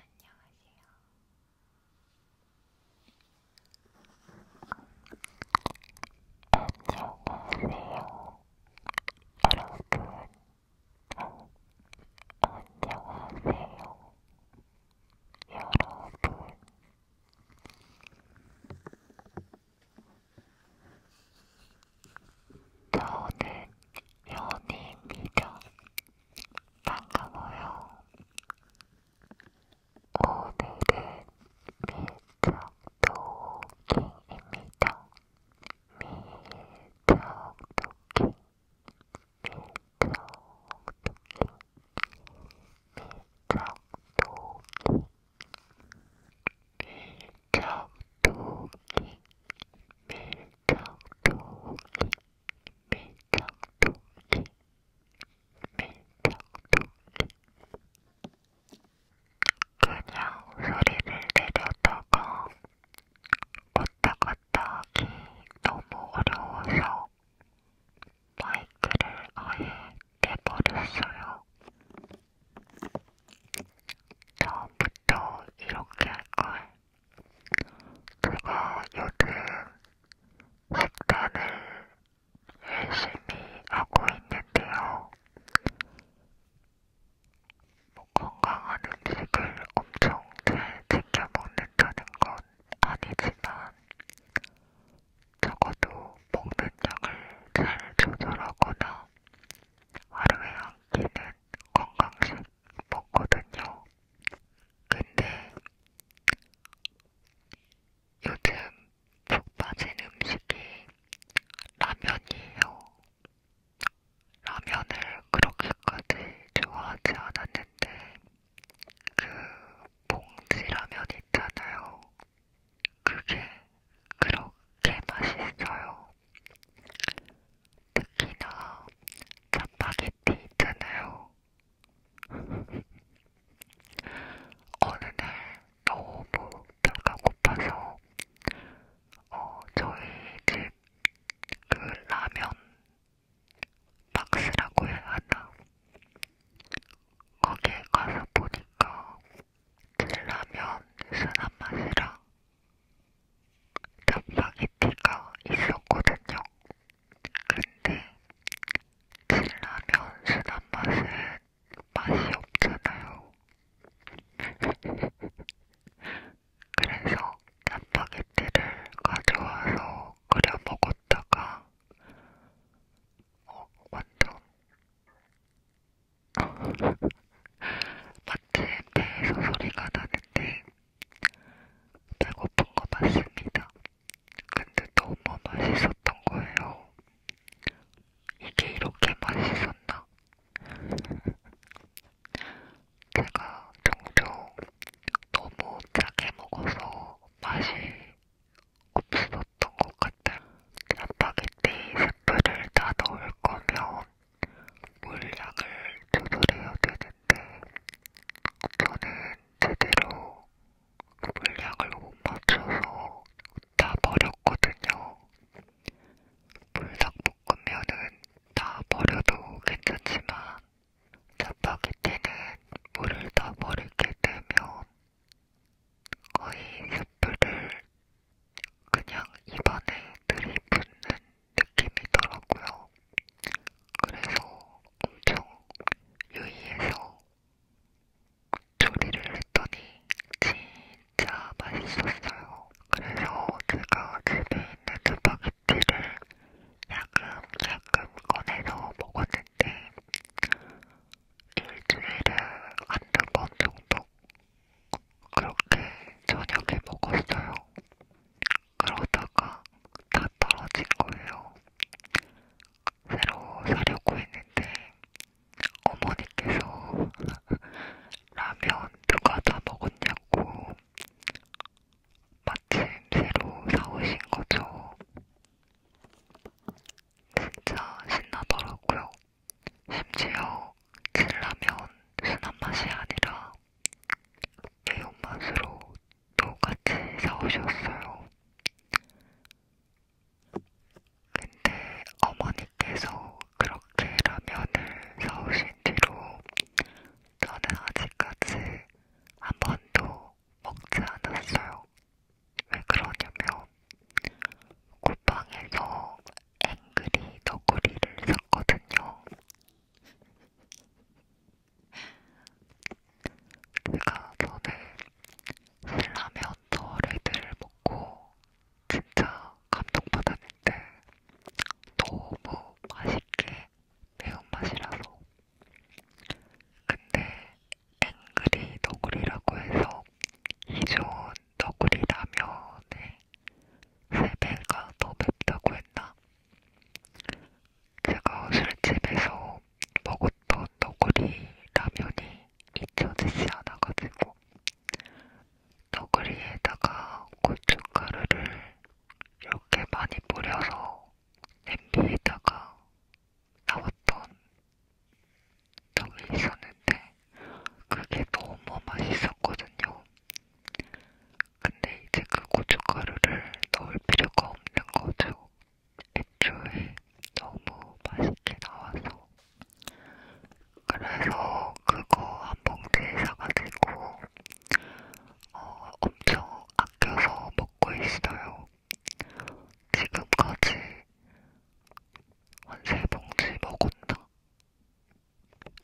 안녕하세요. 안녕하세요. 여러분, 어, 안녕하세요. 여러분. 저는 연희입니다. 반가워요. 오늘은 밀착도킹입니다. 밀착도킹, 밀착도킹, 밀착도킹, 밀착도킹. 밀가루기 밀가루기 밀가루기 밀가루기 그냥 소리를 내려다가 왔다 갔다 하기 너무 어려워서 마이크를 아예 내버렸어요. 처음부터 이렇게 할걸. 제가 요즘 식단을 열심히 하고 있는데요. 뭐 건강한 음식을 엄청 잘 챙겨 먹는다는 건 아니지만 적어도 먹는 양을 잘 조절하거나 하루에 한 끼는 건강식 먹거든요. 근데 요즘 푹 빠진 음식이 라면이에요. 라면을 그렇게까지 좋아하지 않았는데 그 봉지라면 있잖아요. 그게 그렇게 맛있어요. 특히나 짜파게티 있잖아요. 어느 날 너무 배가 고파서 어, 저희 집 그 라면 박스라고 해야 하나? 거기에 가서 보니까 라면 순한 맛이랑 짜파게티가 있었거든요. 근데 진라면 순한 맛은 맛이 없잖아요. 그래서 짜파게티를 가져와서 끓여 먹었다가 어, 완전 마트에서 소리가 나는데 배고픈 거 맞습니다. 근데 너무 맛있었던 거예요. 이게 이렇게 맛있었나? 제가 종종 너무 짜게 먹어서 맛이 없었던 않았던 것 같아. 짜파게티 스프를 다 넣을 거면 물량을 조절해야 되는데 저는 제대로 물량을 못 맞춰서 다 버렸거든요. 불닭볶음면은 다 버려도 괜찮지만 짜파게티는 물을 다 버리게 되면 거의 세트를 그냥 입안에 들이붓는 느낌이더라고요. 그래서 엄청 유의해서 조리를 했더니 진짜 맛있었어요. 그래서 제가 집에 있는 스파게티를 야금야금 꺼내서 먹었는데 일주일에 한두 번 정도 그렇게 저녁에 먹었어요. 그러다가 다 떨어진 거예요. 새로 사려고 했는데 어머니께서 라면 누가 다 먹었냐고 마침 새로 사오신 거죠. 진짜 신나더라고요. 심지어 신라면 순한 맛이 아니라 매운맛으로 또 같이 사오셨어요. 근데 어머니께서 그렇게 라면을 사오신 뒤로 저는 아직까지 한 번도 먹지 않았어요. 왜 그러냐면 꿀빵에서 앵그리 너구리를 샀거든요. 제가 전에 신라면 저 레드를 먹고 진짜 감동받았는데 너무 맛있게 매운맛이라서 근데 앵그리 너구리라고 해서 기존 너구리 라면의 3배가 더 맵다고 했나? 제가 술집에서 먹었던 너구리 라면이 잊혀지지 않아가지고 너구리에다가 고춧가루를 이렇게 많이 뿌려서 냄비에다가 나왔던 적이 있었는데 그게 너무 맛있었거든요. 근데 이제 그 고춧가루를 넣을 필요가 없는 거죠. 애초에 너무 맛있게 나와서. 그래서 그거 한 봉지 사가지고 어, 엄청 아껴서 먹고 있어요. 지금까지 한 세 봉지 먹었나?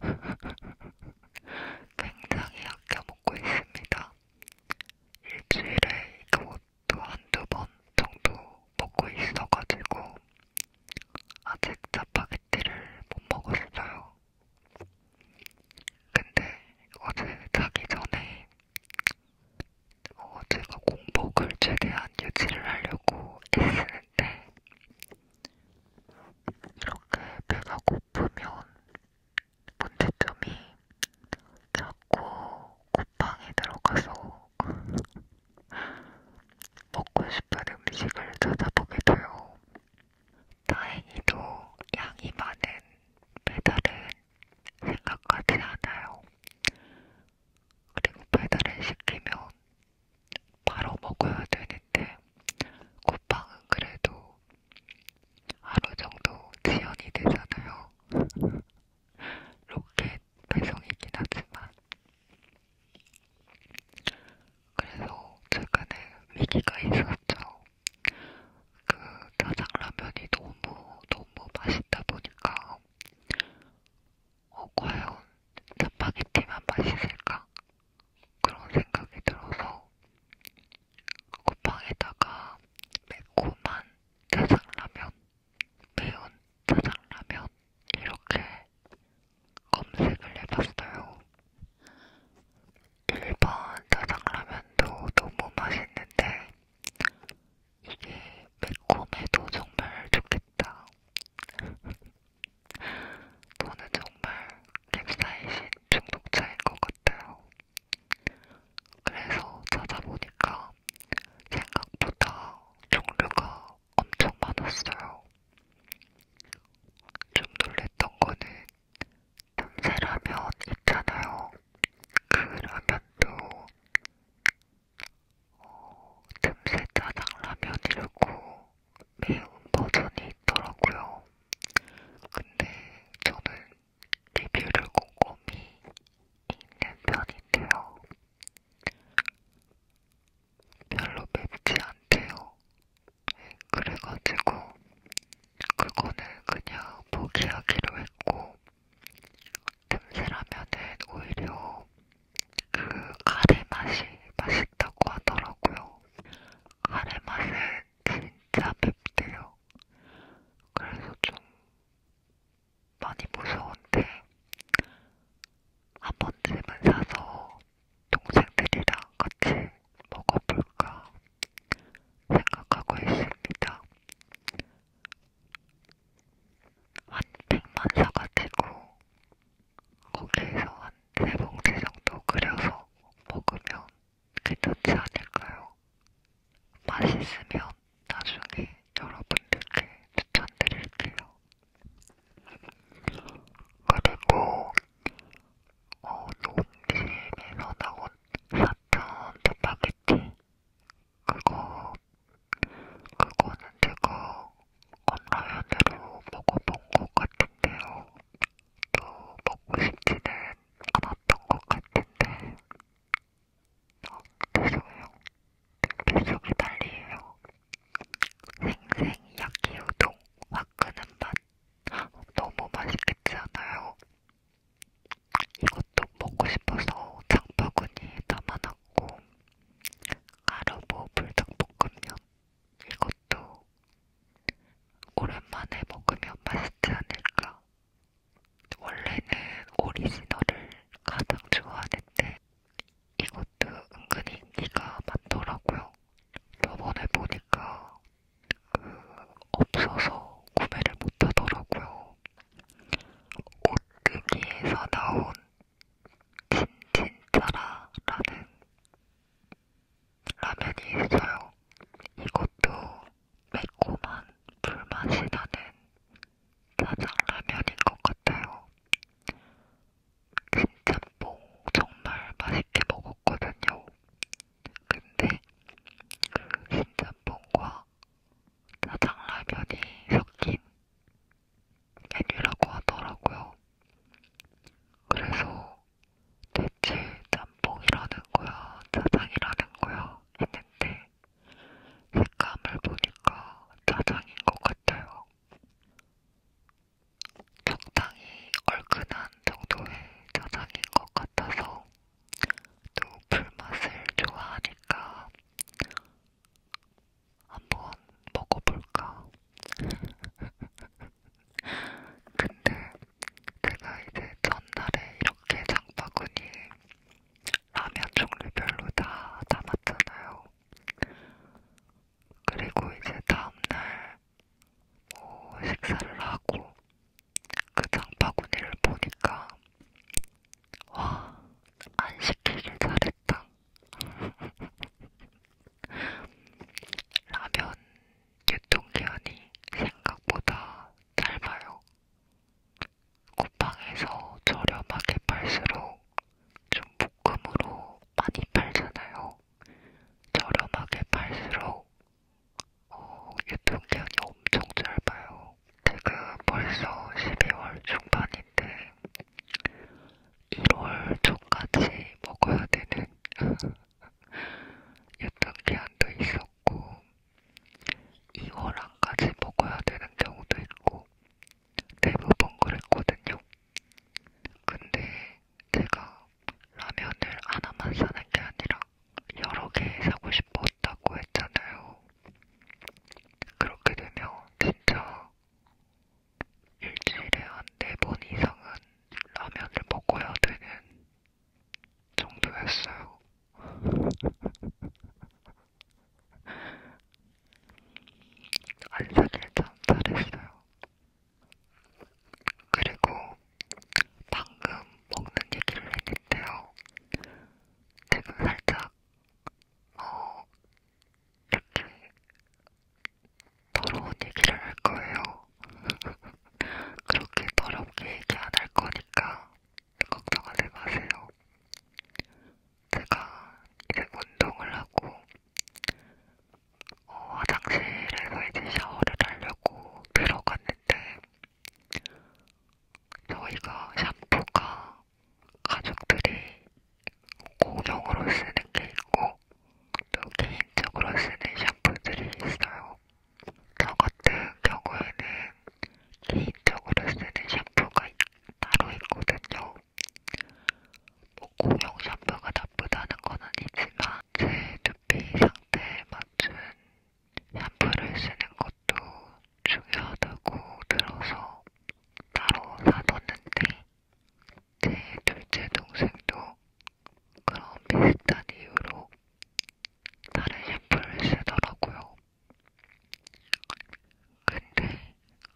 굉장히 아껴 먹고 있습니다. 일주일에 그것도 한두번 정도 먹고 있어가지고 아직 짜파게티를 못 먹었어요. 근데 어제 자기 전에 어, 제가 공복을 최대한 유지를 하려고 애쓰는데 이렇게 배가 고프면 문제점이 자꾸 콧방에 들어가서 먹고 싶은 음식을 찾아보게 돼요. 다행히도 양이 많은 배달은 생각하지 않아요. 그리고 배달을 시키면 바로 먹어야 되는데 쿠팡은 그래도 하루 정도 지연이 되잖아요. 로켓 배송이긴 하지만 그래서 최근에 위기가 있었죠. 그 짜장라면이 너무 너무 맛있다 보니까 어, 과연 스파게티만 맛있을까? 그런 생각이 들어서 쿠팡에다가 매콤한 짜장라면, 매운 짜장라면 이렇게 검색을 해봤어요. 일반 짜장라면도 너무 맛있는데 이게 매콤해도 정말 좋겠다. 저는 정말 캡사이신 중독자인 것 같아요. 그래서 찾아보니까 생각보다 종류가 엄청 많았어요. 좀 놀랬던 거는 참새라면 있잖아요. 그러면 또 어, 틈새 짜장라면이라고 매운 버전이 있더라고요. 근데 저는 리뷰를 꼼꼼히 읽는 편인데요. 별로 맵지 않대요. 그래가지고 그거는 그냥 포기하기로 했고 금세라면은 오히려 그 카레 맛이 맛있다고 하더라고요. 카레 맛은 진짜 맵대요. 그래서 좀 많이 무서운데 한 번쯤은 사서 동생들이랑 같이 먹어볼까 생각하고 있습니다. 한 팩만 사가지고 거기에서 한 세 봉지 정도 끓여서 먹으면 괜찮지 않을까요? 맛있으면 나중에 여러분들께 추천드릴게요. 그리고 어, 농심에서 나온 사천 스파게티 그거 그거는 제가 온라인으로 먹어본 것 같은데요. 또 먹고 싶지는 않았던 것 같은데. 어, 죄송해요. 뱃속이 난리예요. 생생 야끼우동 화끈한 맛. 너무 맛있겠지 않아요? 이것도 먹고 싶어서 장바구니에 담아놨고 가루보 불닭볶음면 이것도 오랜만에 먹으면 맛있지 않을까 원래는 오리지널을 가장 좋아하는데 이것도 은근히 인기가 많더라고요 저번에 보니까 그 없어서 구매를 못하더라고요. 오뚜기에서 나온 진진짜라라는 라면이 있어요. 이것도 매콤한 불맛이 나는 짜장라면인 것 같아요. 진짬뽕 정말 맛있게 먹었거든요. 근데 그 신짬뽕과 짜장라면이 섞인 메뉴라고 하더라고요. 그래서 대체 짬뽕이라는 거야, 짜장이라는 거야 했는데 색감을 보니까 짜장인 것 같아요. 적당히 얼큰한 정도의 짜장인 것 같아서 또 불맛을 좋아하니까 한번 먹어볼까? 근데 제가 이제 전날에 이렇게 장바구니 라면 종류별로 다 담았잖아요. 그리고 이제 다음날 뭐 식사를 하고 그 장바구니를 보니까 와, 안 시키길 잘했다. 라면 유통기한이 생각보다 짧아요. 쿠팡에서 저렴하게 팔수록 좀 묶음으로 많이 팔잖아요. 저렴하게 팔수록 어, 유통기한이 엄청 짧아요. 제가 벌써 12월 중반인데 1월 초까지 먹어야 되는 유통기한도 있었고 2월 안까지 먹어야 되는 경우도 있고 대부분 그랬거든요. 근데 제가 라면을 하나만 사는 게 아니라 여러 개 사고 싶었다고 했잖아요. 그렇게 되면 진짜 일주일에 한 네 번 이상은 라면을 먹어야 되는 정도였어요. 안 사길 참 잘했어요. 그리고 방금 먹는 얘기를 했는데요. 지금 살짝 어 이렇게 더러운 얘기를 할 거예요. 그렇게 더럽게 얘기 안 할 거니까 걱정하지 마세요. 제가 이제 운동을 하고 어, 화장실에서 이제 샤워를 하려고 들어갔는데 근데 저희가 샴푸가 가족들이 공용으로 쓰는 게 있고 또 개인적으로 쓰는 샴푸들이 있어요. 저 같은 경우에는 개인적으로 쓰는 샴푸가 따로 있거든요. 뭐 공용 샴푸가 나쁘다는 건 아니지만 제 그 두피 상태에 맞춘 샴푸를 쓰는 것도 중요하다고 들어서 따로 사뒀는데 제 둘째 동생도 그런 비슷한 이유로 다른 샴푸를 쓰더라고요. 근데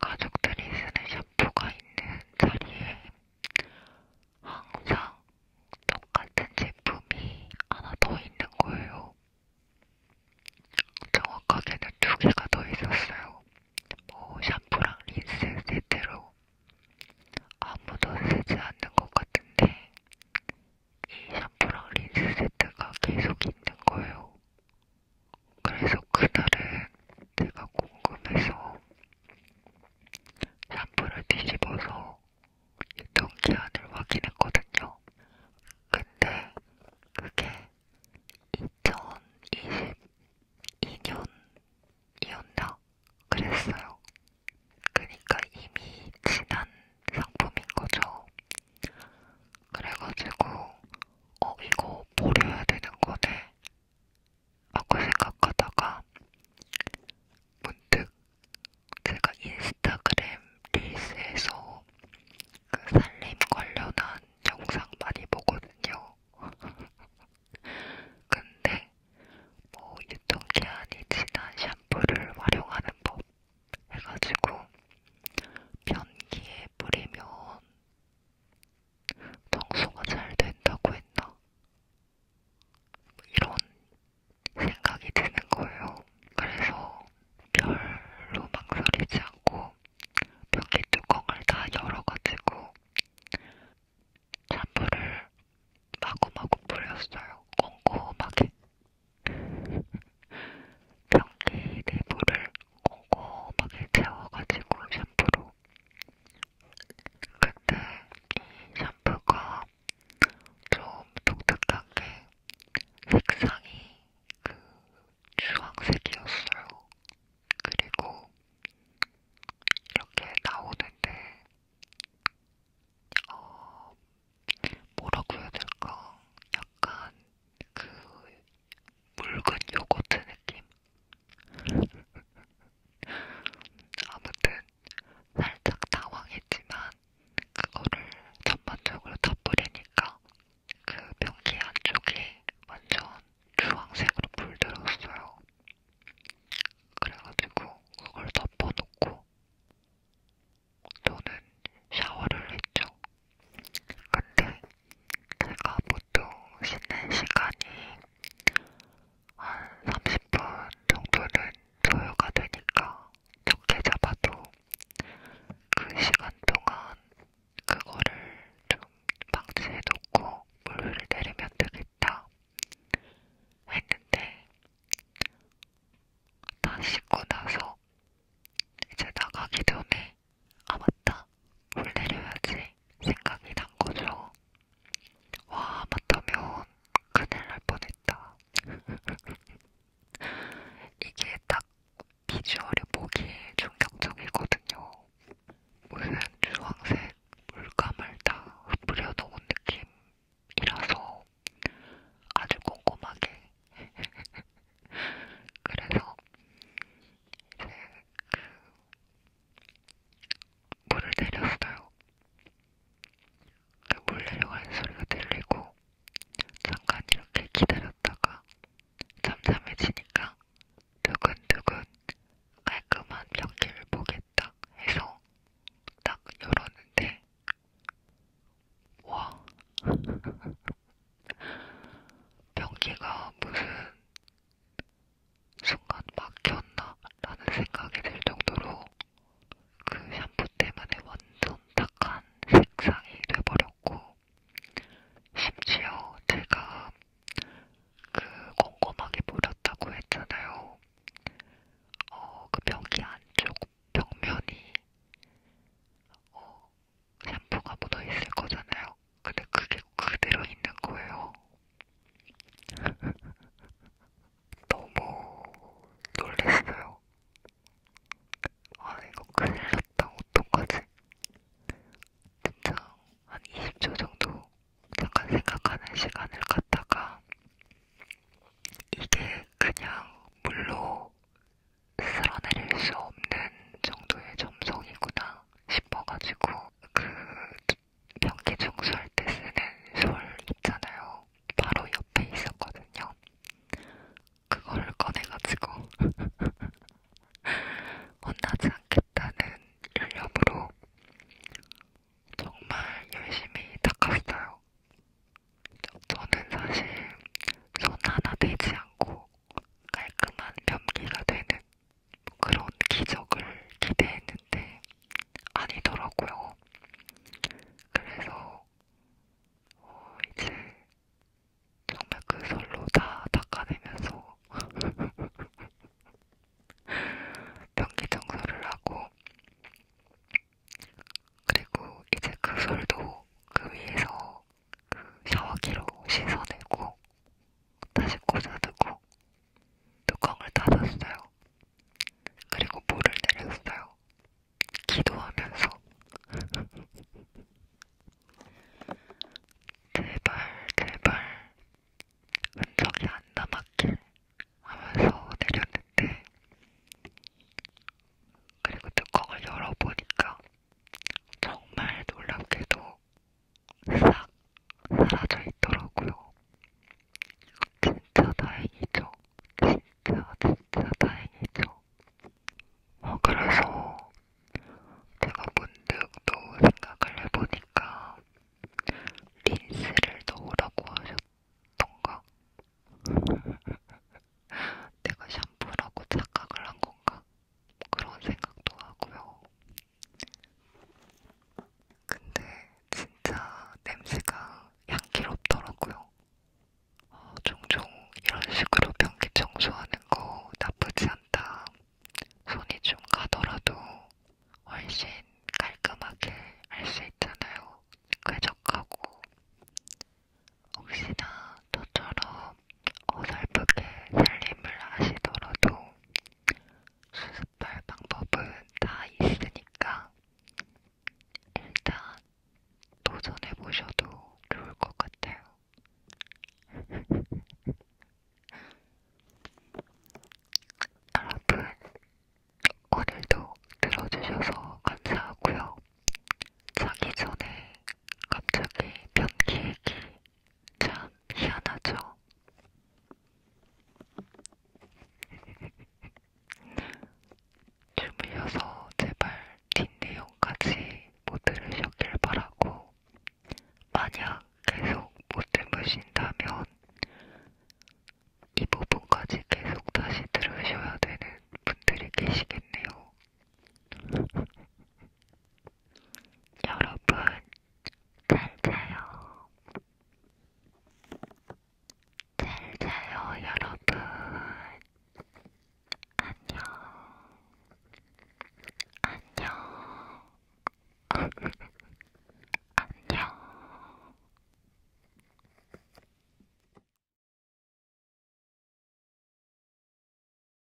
가족들이 쓰는 샴푸가 있는 자리에 항상 똑같은 제품이 하나 더 있는 거예요. 정확하게는 두 개가 더 있었어요. 뭐 샴푸랑 린스 세트로 아무도 쓰지 않는 것 같은데 이 샴푸랑 린스 세트가 계속 있는 거예요. 그래서 그날은 내가 궁금해서 샴푸를 뒤집어서 유통 기한을 확인했거든요. 근데 그게 2022년이었나? 그랬어요. 그니까 이미 지난 상품인 거죠. 그래가지고, 어, 이거 버려야 되는 거네. 하고 생각하다가 문득 제가 인스타그램 릴스에서 그 살림 관련한 영상 많이 보거든요. 근데 뭐 유통기한이 지난 샴푸를 활용하는 법 해가지고 변기에 뿌리면 청소가 잘 된다고 했나? 이런 생각이 드는 거예요. 그래서 별로 망설이지 않고 변기 뚜껑을 다 열어가지고 찬물을 마구마구 뿌렸어요. 꼼꼼하게. 변기 내부를 꼼꼼하게 채워가지고 샴푸로 근데 이 샴푸가 좀 독특한 게 색상이 그 주황색이었어요. 그리고 이렇게 나오는데 어, 뭐라고 해야 될까? 약간 그 묽은 요거트 느낌? 아무튼 살짝 당황했지만 그거를 전반적으로 다 뿌리니까 그 변기 안쪽이 완전 주황색으로 불들었어요. 그래가지고 그걸 덮어놓고 저는 샤워를 했죠. 근데 제가 보통 씻는 시간이 한 30분 정도는 소요가 되니까 적게 잡아도 그 시간 동안 그거를 좀 방치해놓고 물을 내리면 되겠다 했는데 다 씻고 나서 이제 나가기 전에 아 맞다 물 내려야지 생각이 난 거죠. 와, 맞다면 큰일 날 뻔했다. 이게 딱 비주얼이 보기 충격적이거든요. 무슨 주황색 물감을 다 뿌려 놓은 느낌이라서 아주 꼼꼼하게. 그래서 이제 그 물을 내렸어요. 그 물 내려가는 소리가 들리고 잠깐 이렇게 기다렸다가 잠잠해지니까 두근두근 깔끔한 변기를 보겠다 해서 딱 열었는데 와 변기가 무슨 순간 막혔나? 라는 생각이 들 정도로 그 샴푸 때문에 완전 탁한 색상이 돼버렸고 심지어 제가 그 꼼꼼하게 뿌렸다고 했잖아요. 어, 그 벽이 안쪽 벽면이 어, 샴푸가 묻어있을 거잖아요. 아, 근데 그게 그대로 있는 거예요. 너무 놀랐어요. 아, 이거 큰일 났다. 어떡하지? 진짜 한 20초 정도 잠깐 생각하는 시간을 갖다가 이게 그냥 물로 쓸어내릴 수 없는 정도의 점성이구나 싶어가지고 그 변기 청소할 때 쓰는 솔 있잖아요. 바로 옆에 있었거든요. 그걸 꺼내가지고 혼나지 않겠다는 열념으로 정말 열심히 닦았어요. 저는 사실 손 하나 대지 않고 깔끔한 변기가 되는 그런 기적을 기대했는데 아니더라고요. 그래서 어, 이제 정말 그 설로 다 닦아내면서 변기 청소를 하고 그리고 이제 그 설도 그 위에서 그 샤워기로 씻어내고 다시 꽂아두고 뚜껑을 닫았어요. 그리고 물을 내렸어요. 기도하면서. 제발, 제발, 흔적이 안 남았길 하면서 내렸는데, 그리고 뚜껑을 열어보니까 정말 놀랍게도 싹 사라져 있더라고요. 진짜 다행이죠. 진짜 진짜 다행이죠. 어 그래서 제가 문득 또 생각을 해보니까 린스를 넣으라고 하셨던가? 내가 샴푸라고 착각을 한 건가? 그런 생각도 하고요. 근데 진짜 냄새가 향기롭더라고요. 어, 종종 이런 식으로 변기 청소하는 거 나쁘지 않다. 손이 좀 가더라도 훨씬 깔끔하게 할 수 있잖아요. 쾌적하고. 혹시나 저처럼 어설프게 살림을 하시더라도 수습할 방법은 다 있으니까 일단 도전해보셔도 좋을 것 같아요. 여러분, 오늘도 들어주셔서 감사하고요. 자기 전에 갑자기 변기 얘기 참 희한하죠? 주물려서 제발 뒷내용까지 못 들으셨길 바라고 만약 계속 못 들으신다면 이 부분까지 계속 다시 들으셔야 되는 분들이 계시겠네요. 여러분, 잘 자요. 잘 자요, 여러분. 안녕. 안녕. 안녕.